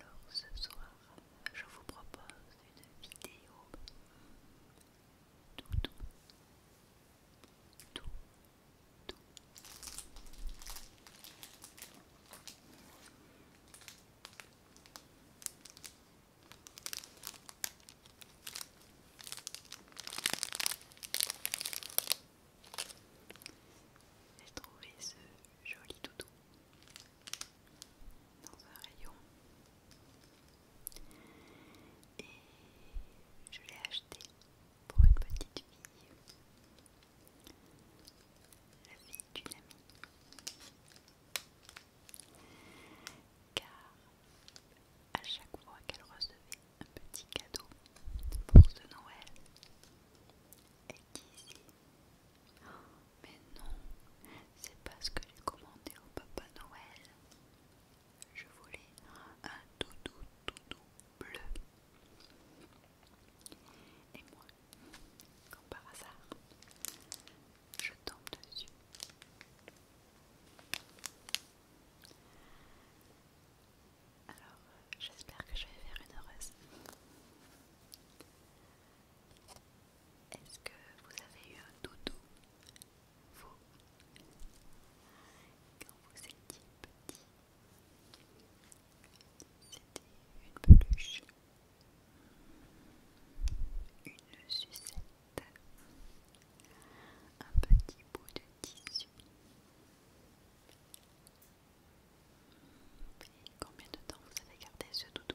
Alors ce soir, je vous propose une vidéo tout, tout, tout, j'ai trouvé ce joli doudou dans un rayon et je l'ai acheté pour une petite fille, la fille d'une amie, car à chaque fois qu'elle recevait un petit cadeau pour ce Noël. Et Oh, mais non, c'est parce que j'ai commandé au Papa Noël. Je voulais un doudou doudou bleu. Et moi, comme par hasard, je tombe dessus. Alors, j'espère que je vais faire une heureuse. Est-ce que vous avez eu un doudou, vous, quand vous étiez petit C'était une peluche, une sucette, un petit bout de tissu combien de temps vous avez gardé ce doudou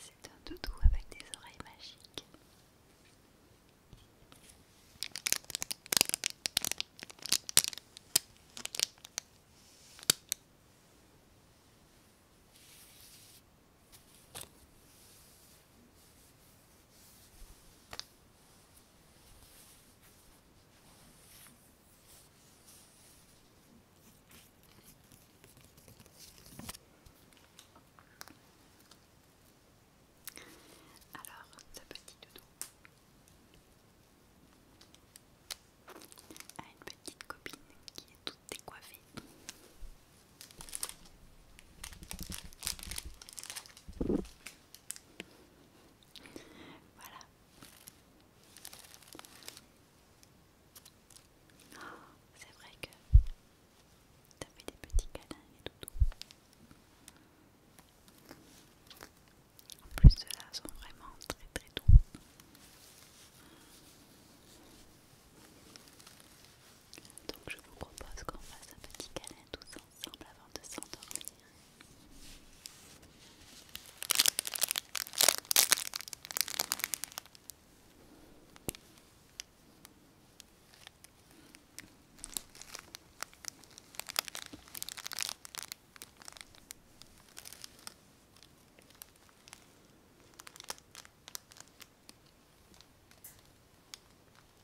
C'est un doudou avec des oreilles magiques. Alors, sa petite doudou a une petite copine qui est toute décoiffée. Voilà. Oh, c'est vrai que as fait des petits câlins et tout. En plus de là, sont vraiment très très doux. Donc je vous propose qu'on fasse un petit câlin ça semble avant de s'endormir.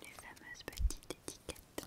Les fameuses petites étiquettes.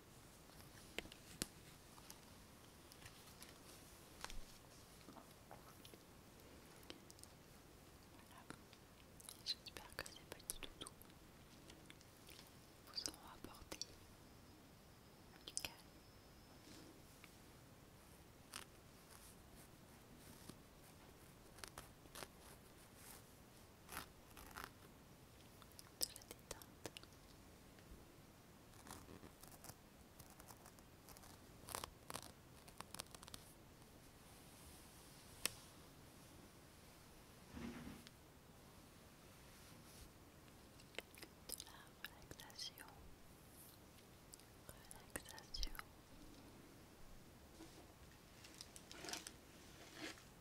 J'espère que ces petits doudous vous auront apporté du calme de la détente. De la relaxation, relaxation. Relaxation.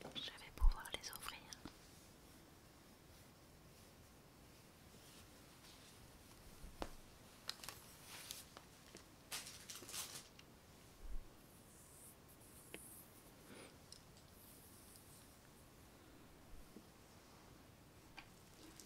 Voilà. Je vais pouvoir les ouvrir.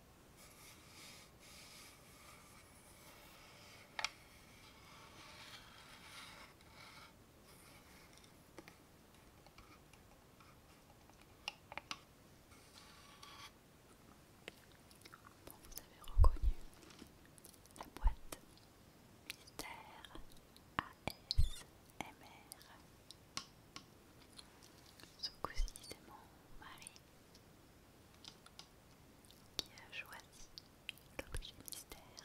vous avez reconnu la boîte mystère ASMR. Ce coup-ci, mon mari qui a choisi l'objet mystère.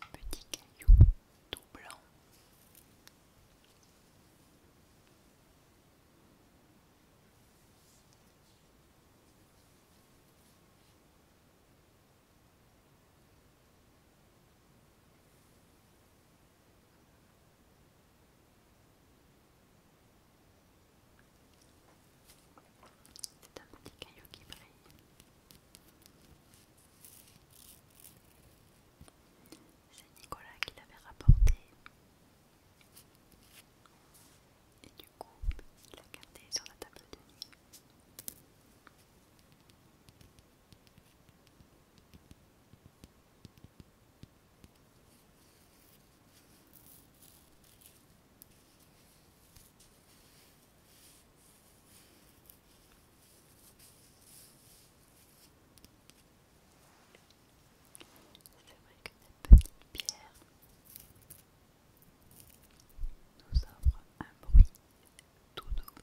un petit caillou tout blanc. C'est un petit caillou qui brille. C'est Nicolas qui l'avait rapporté. Et du coup, il l'a gardé sur la table de nuit. C'est vrai que cette petite pierre nous offre un bruit tout doux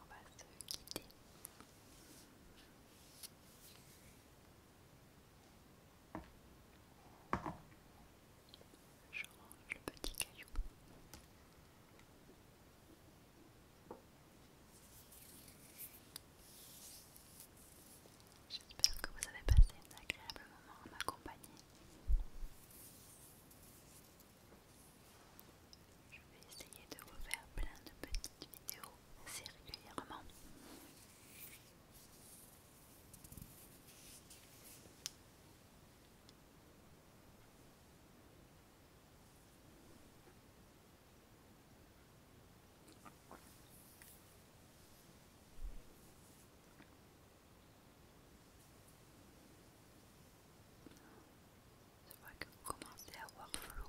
on va se quitter. Je range le petit caillou. J'espère que vous avez passé un agréable moment à m'accompagner. Je vais essayer de faire plein de petites vidéos assez régulièrement. C'est vrai que vous commencez à avoir flou.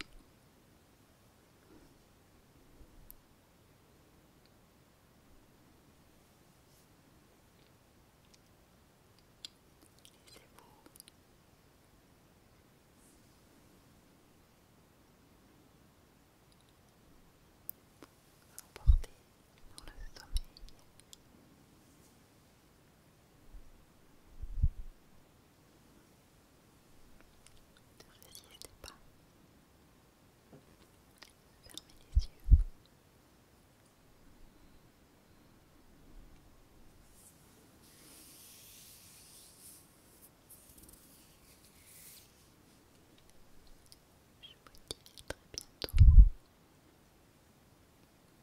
Laissez-vous emporter dans le sommeil. Ne résistez pas. Fermez les yeux. Je vous dis à très bientôt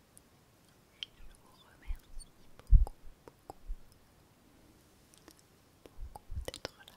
je vous remercie beaucoup, beaucoup, beaucoup d'être là.